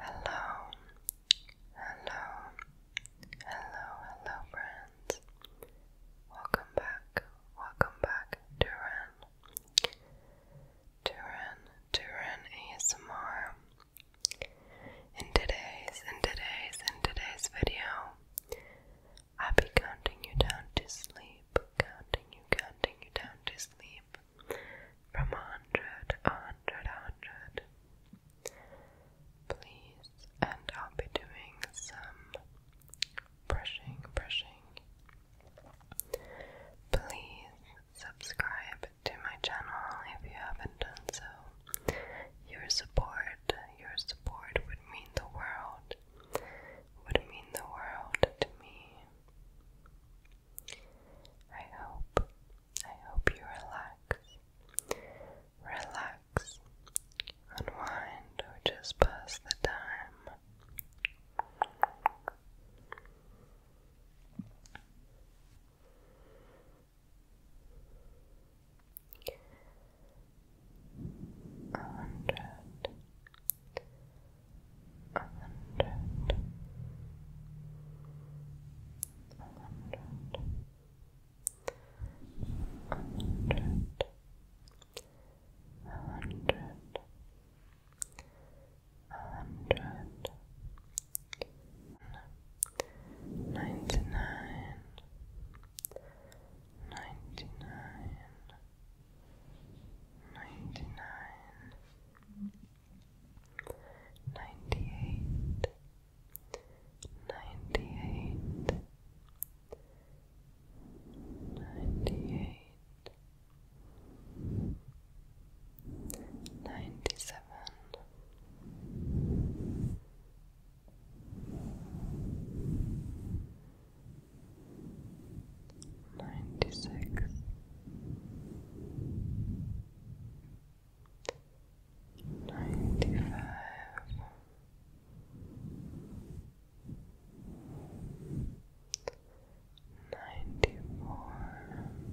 Hello, hello, hello, hello, friends. Welcome back, welcome back, Duran. Duran, Duran ASMR. In today's, in today's, in today's video, I'll be counting you down to sleep, counting you, counting you down to sleep. From hundred, a hundred, Please, and I'll be doing some brushing, brushing. Please subscribe to my channel if you haven't done so. Your support, your support would mean the world. Would mean the world to me. I hope, I hope you relax, relax, unwind, or just pass the time. hundred, a hundred, a hundred, a hundred, a hundred, a hundred, ninety nine, ninety nine, ninety nine ninety-eight, ninety-eight, ninety-eight, ninety-seven, ninety-six ninety six ninety five ninety four Ninety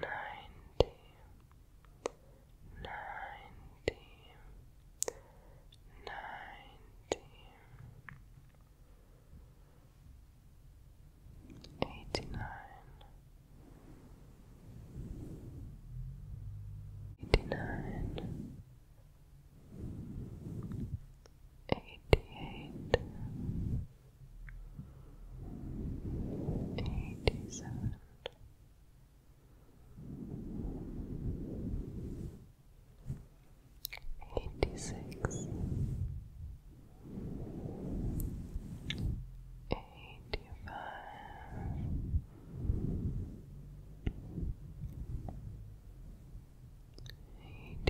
ninety, ninety, ninety, eighty-nine, eighty-nine. Eighty-eight, eighty-seven, eighty-six, eighty-five. 86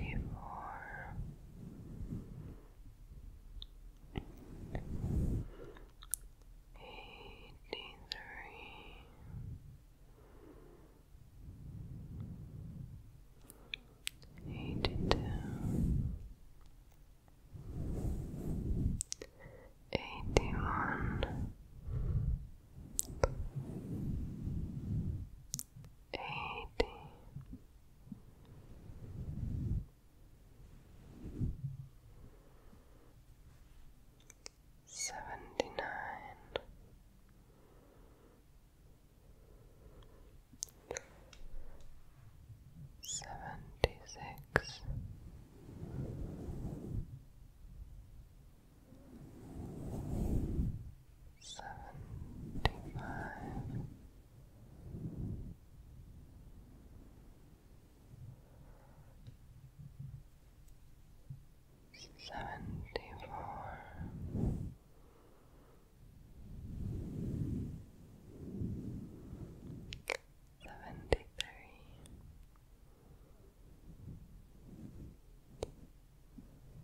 eighty-four, eighty-three, eighty-two, eighty-one eighty. Seventy nine, seventy-five, seventy-four, seventy-three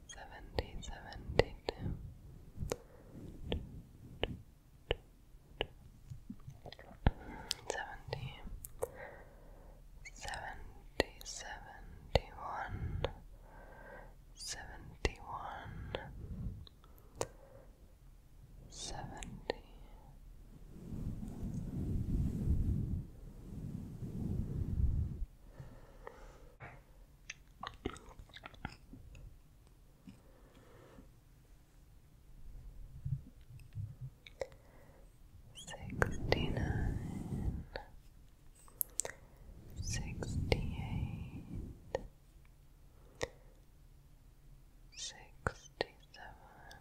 seventy, seventy two. Seventy, seventy, seventy one, seventy one, seventy, Sixty-nine, sixty-eight, sixty-seven,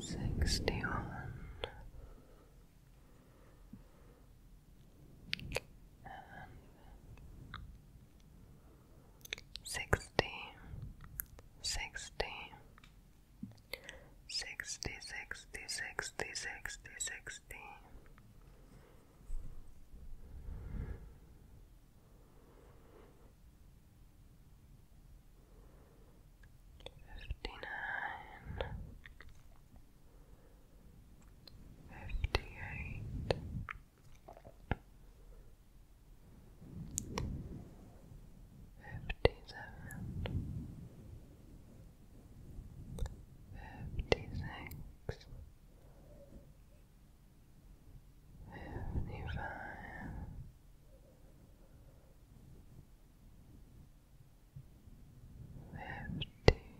sixty one sixty sixty sixty sixty sixty sixty sixty Fifty-nine, fifty-eight, fifty-seven, fifty-six. 56 fifty-five,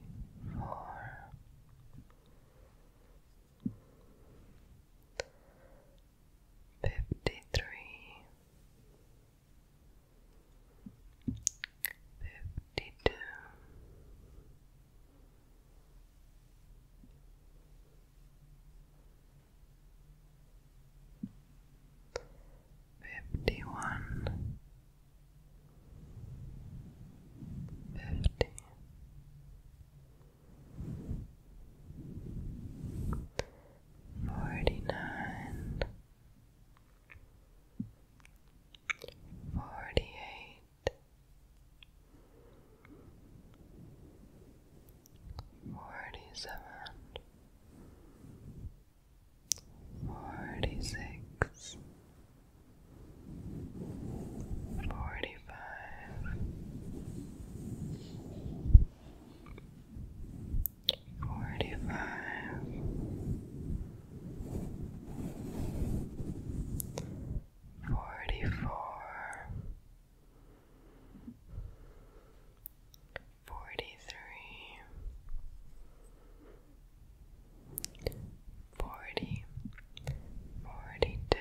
fifty-four, fifty-three, fifty-two. 52 Fifty one, fifty, forty nine, forty eight. Forty-seven, forty-six, forty-five, forty-five, Forty-four, forty-three, forty, forty-two,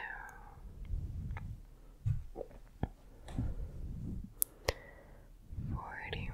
forty-one,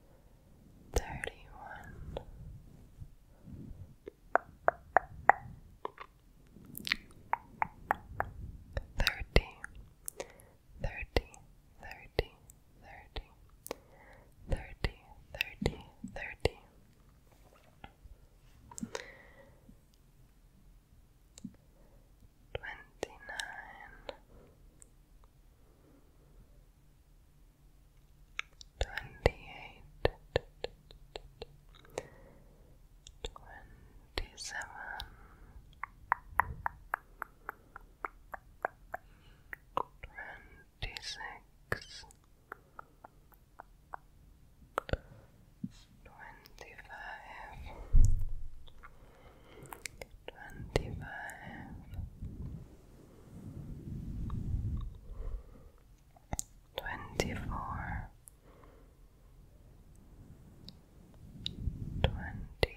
thirty one. Thirty, thirty, thirty, thirty, thirty, thirty, thirty. Twenty nine, twenty-eight, twenty-seven, twenty-six, twenty-five, twenty-five, twenty-four, twenty-three,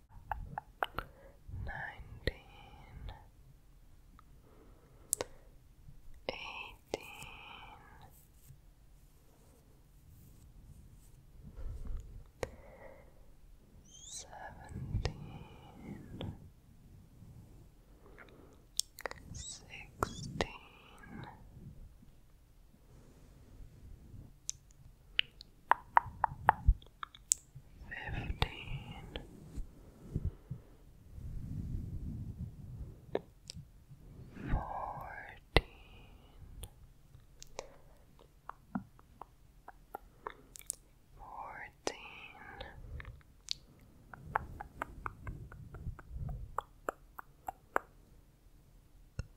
nineteen, eighteen, seventeen, sixteen fifteen, fourteen, fourteen.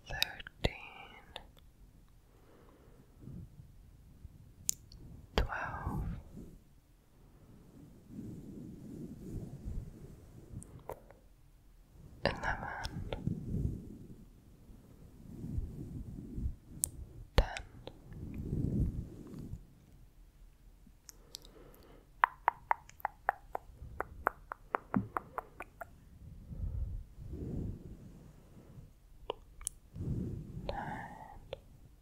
Thirteen, twelve, eleven, ten. Nine,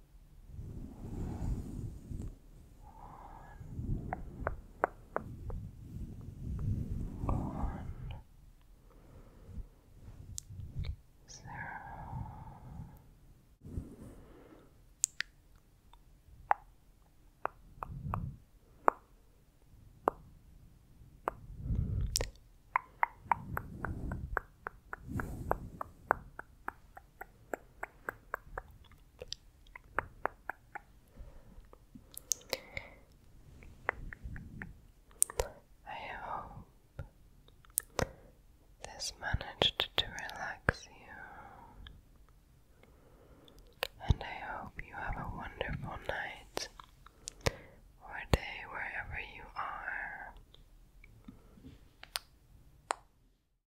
one, zero. I hope this managed to relax you, and I hope you have a wonderful night or day wherever you are.